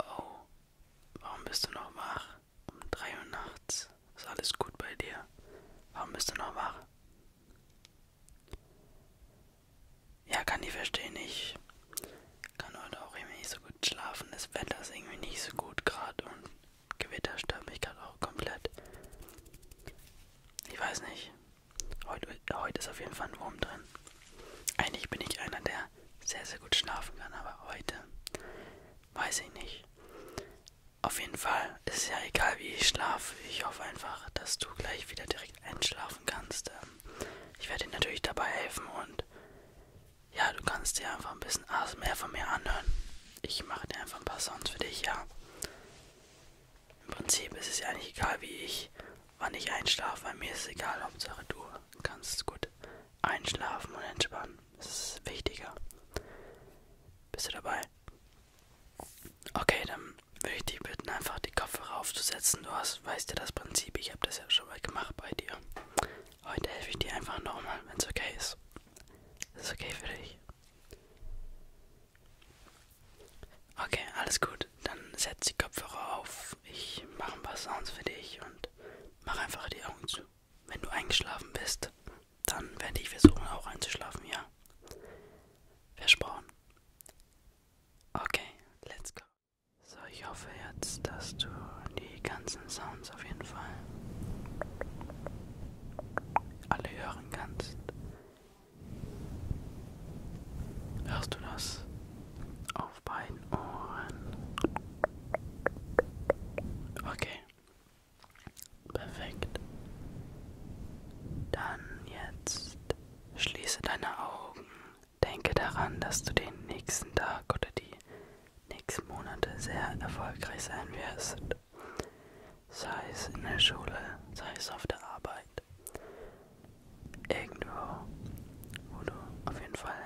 Oh, warum bist du noch wach? Um drei Uhr nachts. Ist alles gut bei dir? Warum bist du noch wach? Ja, kann ich verstehen. Ich kann heute auch irgendwie nicht so gut schlafen. Das Wetter ist irgendwie nicht so gut gerade und Gewitter stört mich gerade auch komplett. Ich weiß nicht. Heute, heute ist auf jeden Fall ein Wurm drin. Eigentlich bin ich einer, der sehr, sehr gut schlafen kann, aber heute weiß ich nicht. Auf jeden Fall ist ja egal, wie ich schlafe. Ich hoffe einfach, dass du gleich wieder direkt einschlafen kannst. Ähm, ich werde dir natürlich dabei helfen und ja, du kannst dir einfach ein bisschen ASMR von mir anhören. Ich mache dir einfach ein paar Sounds für dich, ja. Im Prinzip ist es ja nicht egal, wie ich, wann ich einschlafe, weil mir ist es egal, Hauptsache du kannst gut einschlafen und entspannen. Das ist wichtiger. Bist du dabei? Okay, dann würde ich dich bitten, einfach die Kopfhörer aufzusetzen. Du hast, weißt ja das Prinzip, ich habe das ja schon mal gemacht bei dir. Heute helfe ich dir einfach nochmal, wenn es okay ist. Das ist okay für dich. Okay, alles gut. Dann setz die Kopfhörer auf. Ich mache ein paar Sounds für dich und mach einfach die Augen zu. Wenn du eingeschlafen bist, dann werde ich versuchen, auch einzuschlafen, ja? Versprochen. Okay, let's go. So, ich hoffe jetzt, dass du die ganzen Sounds auf jeden Fall alle hören kannst. Hörst du das? Oh auf beiden Ohren. Okay. Perfekt. Dann jetzt schließe deine Augen. Denke daran, dass du den nächsten Tag oder die nächsten Monate sehr erfolgreich sein wirst. Sei es in der Schule, sei es auf der Arbeit. Irgendwo, wo du auf jeden Fall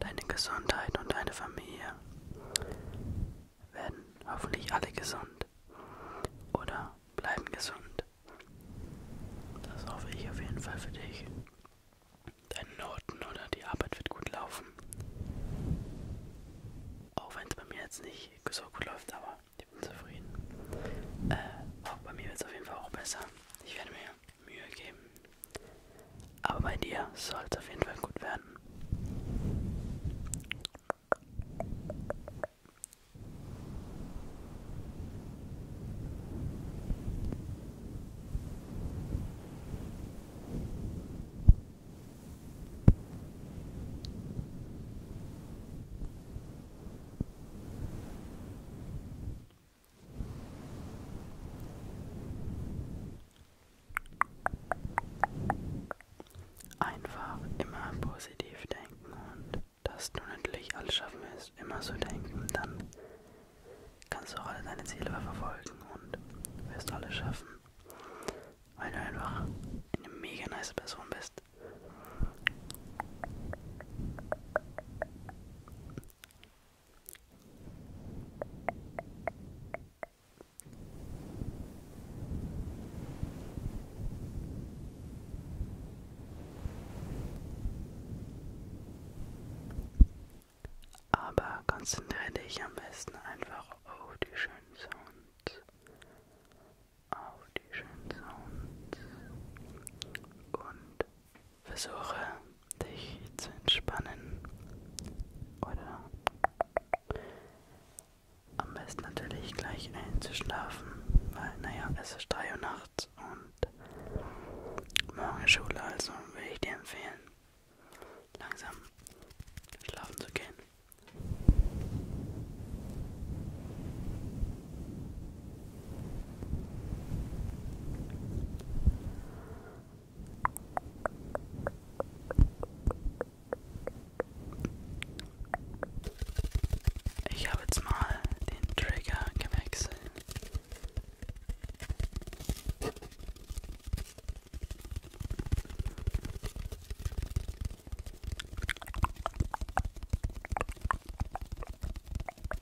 Deine Gesundheit und deine Familie werden hoffentlich alle gesund oder bleiben gesund. Das hoffe ich auf jeden Fall für dich. Deine Noten oder die Arbeit wird gut laufen. Auch wenn es bei mir jetzt nicht so gut läuft, aber ich bin zufrieden. Äh, auch bei mir wird es auf jeden Fall auch besser. Ich werde mir Mühe geben. Aber bei dir soll es auf jeden Fall gut werden. Einfach immer positiv denken und dass du natürlich alles schaffen wirst, immer so denken, dann kannst du auch alle deine Ziele verfolgen und wirst alles schaffen, weil du einfach eine mega nice Person bist. Aber konzentriere dich am besten einfach auf die schönen Sounds. Auf die schönen Sounds. Und Versuche dich zu entspannen oder am besten natürlich gleich einzuschlafen, weil naja, es ist 3 Uhr nachts und morgen Schule, also würde ich dir empfehlen, langsam schlafen zu gehen. Ich habe jetzt mal den Trigger gewechselt.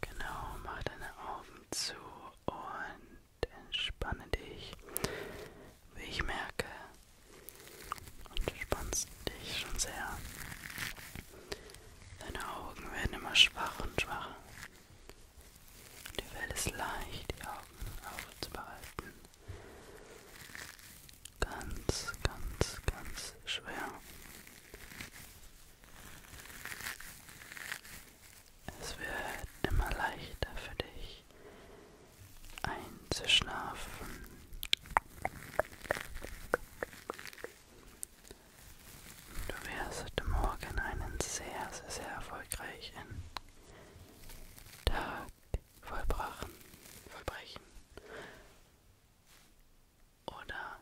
Genau, mach deine Augen zu und entspanne dich, wie ich merke. Und du spannst dich schon sehr. Deine Augen werden immer schwach und schwacher. Die Welt ist leicht, die Augen aufzubehalten. Ganz, ganz, ganz schwer. Es wird immer leichter für dich einzuschlafen. Du wirst heute Morgen einen sehr, sehr, sehr erfolgreichen Tag vollbrachen, vollbrechen. Oder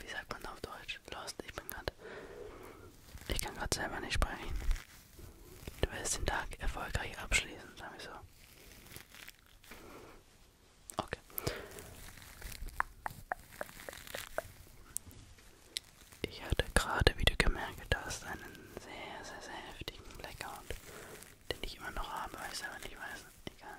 wie sagt man auf Deutsch? Lost, ich bin gerade. Ich kann gerade selber nicht sprechen. Du willst den Tag erfolgreich abschließen, sag ich so. Okay. Ich hatte gerade wieder gemerkt, dass einen sehr, sehr, sehr heftigen Blackout, den ich immer noch habe, weiß aber nicht weiß. Egal.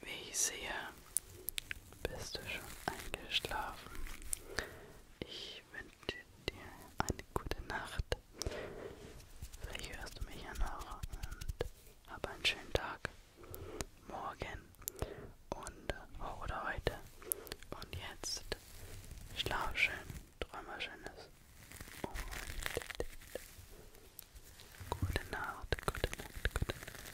Wie ich sehe, bist du schon eingeschlafen. Ich wünsche dir eine gute Nacht. Vielleicht hörst du mich ja noch und hab einen schönen Tag. Morgen und oh, oder heute. Und jetzt schlaf schön, träum was Schönes. Und gute Nacht, gute Nacht, gute Nacht.